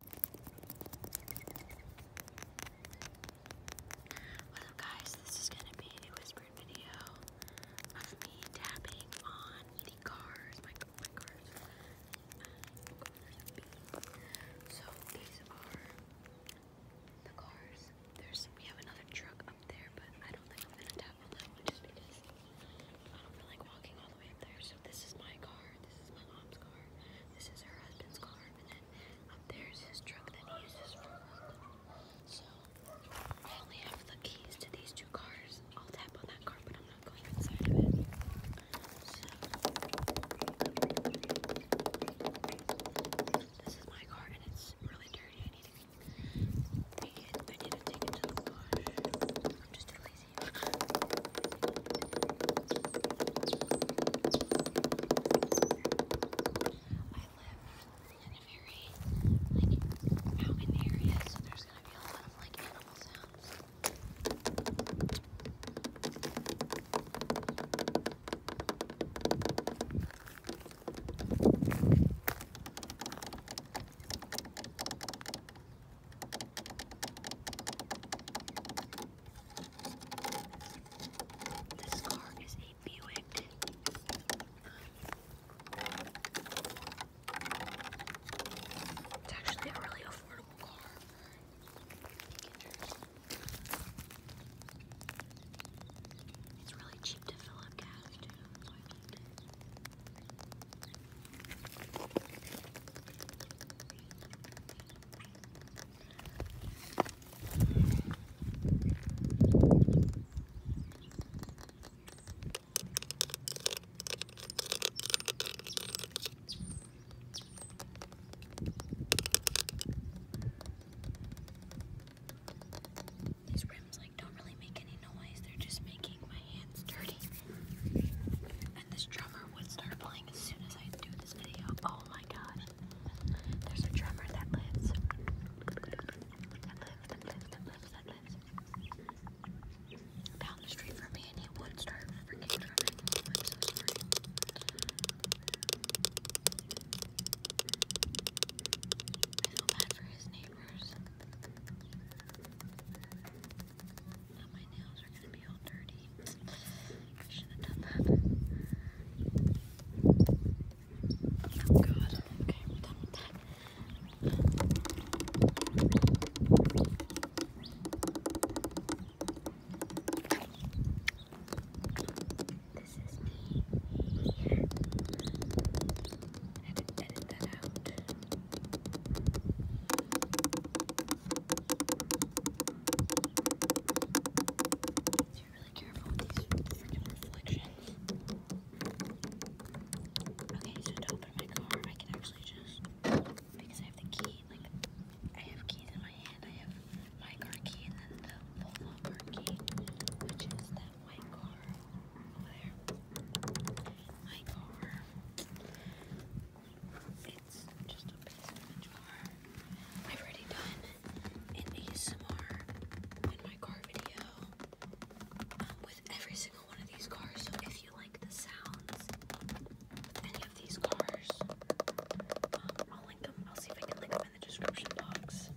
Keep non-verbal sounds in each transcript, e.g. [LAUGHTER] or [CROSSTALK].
What's up guys, this is going to be a whispered video of me tapping on eating cars, So these are the cars, There's we have another truck up there, but I don't think I'm going to tap on that one just because I don't feel like walking all the way up there, this is my car, this is my mom's car, this is her husband's car, and then up there is his truck that he uses for work. So I only have the keys to these two cars. I'll tap on that car, but I'm not going inside of it. So this is my car, and it's really dirty. I need to I need to take it to the wash. I'm just in a very like mountain area, so there's gonna be a lot of like animal sounds. This car is a Buick. It's actually a really affordable car. It's really cheap to fill up gas these rims like don't really make any noise. They're just making my hands dirty and this drummer would start playing as soon as I do this video. Oh my gosh. There's a drummer that lives. Down the street from me and he would start freaking drumming. I feel bad for his neighbors. Oh, my nails are gonna be all dirty. I should have done that. Oh god. Okay, edit that out. Be really careful with these freaking reflections. Okay, so to open my car, I can actually just because I have the key. Like I have keys in my hand. I have my car key and then the Volvo car key, which is that white car over there. My car. It's just a piece of the jar. I've already done an ASMR in my car video um, with every single one of these cars. So if you like the sounds with any of these cars, um, I'll link them. I'll see if I can link them in the description box.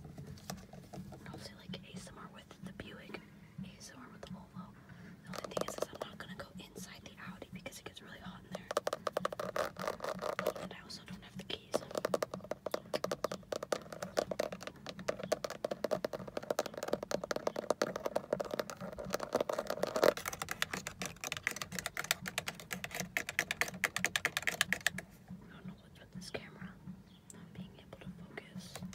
I'll do like ASMR with the Buick ASMR with the Volvo. The only thing is I'm not gonna go inside the Audi because it gets really hot in there. And I also don't have the keys. I don't know what's with this camera not being able to focus.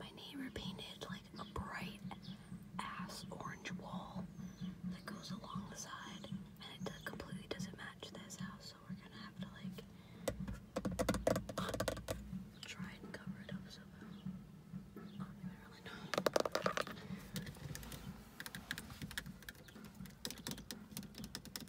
My neighbor painted like a bright ass orange wall that goes along the side, and it completely doesn't match this house, so we're gonna have to like try and cover it up So I don't even really know. A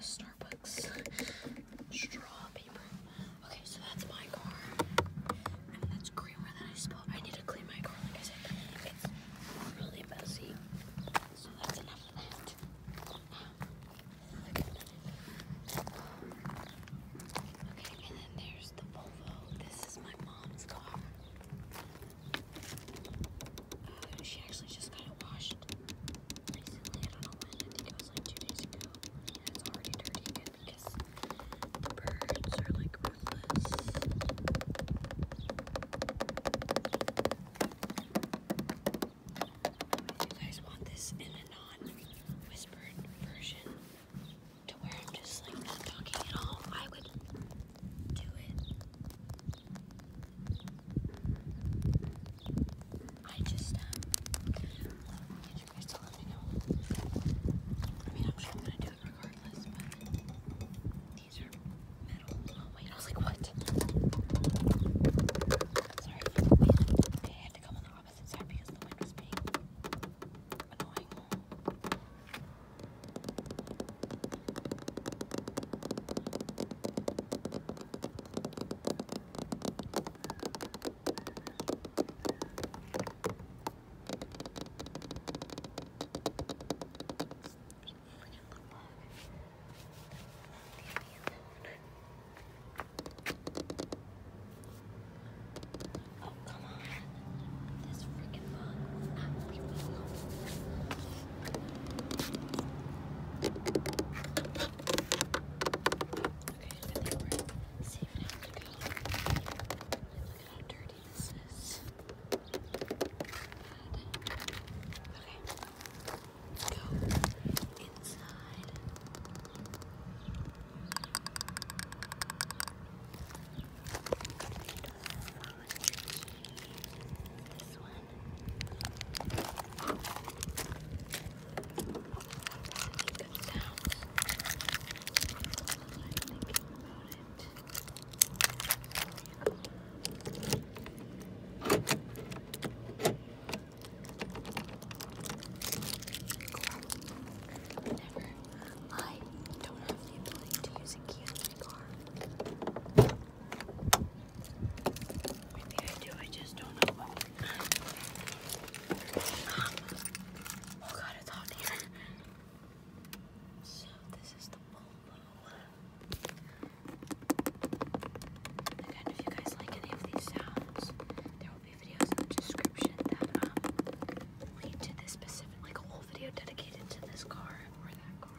Starbucks straw paper. Okay, so that's my car. And that's creamer that I spilled. I need to clean my car, like I said. It's really messy. So that's enough of that. Okay, and then there's the Volvo. This is my mom's car. she actually just got it washed recently. I don't know when. I think it like two days ago. And it's already dirty because the birds are like ruthless you guys want this in a non-whispered version to where I'm just like not talking at all, I would do it. I just um you guys to let me know? I mean I'm sure I'm gonna do it regardless, but these are metal. Oh, wait, I was like, what? Sorry, I had to come on the opposite side because the wind was being annoying leave me alone. Leave me alone. Oh, come on. This freaking bug will not leave me alone. Okay, I think we're safe now to go. Look at how dirty this is. Good. Okay. Go inside. This one. Really good sounds. That's what I think about it. Never. I don't have the ability to use a key car. Maybe I do, I just don't know [LAUGHS] oh god, it's hot here. [LAUGHS] So this is the Volvo. Again, if you guys like any of these sounds, there will be videos in the description that um, lead to this specific, like a whole video dedicated to this car or that car.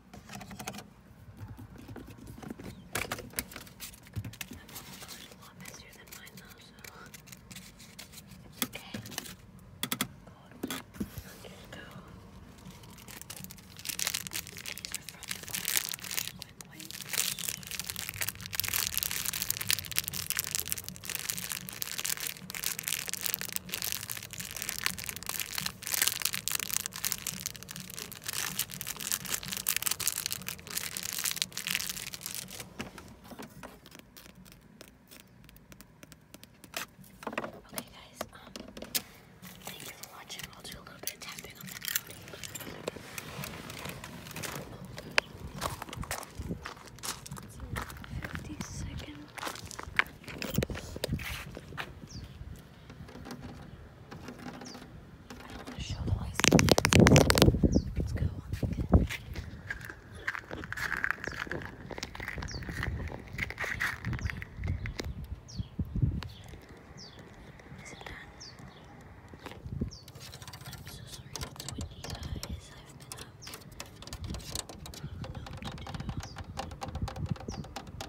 is a lot messier than mine though, so it's okay. Cold. Let's go. These are from the quick wipes. These Okay, guys, um, thank you for watching. I'll do a little bit of tapping on the Fifty seconds. I don't want to show the license. Let's go on again. Is it done? I'm so sorry it's windy, guys. I've been up. I don't know what to do.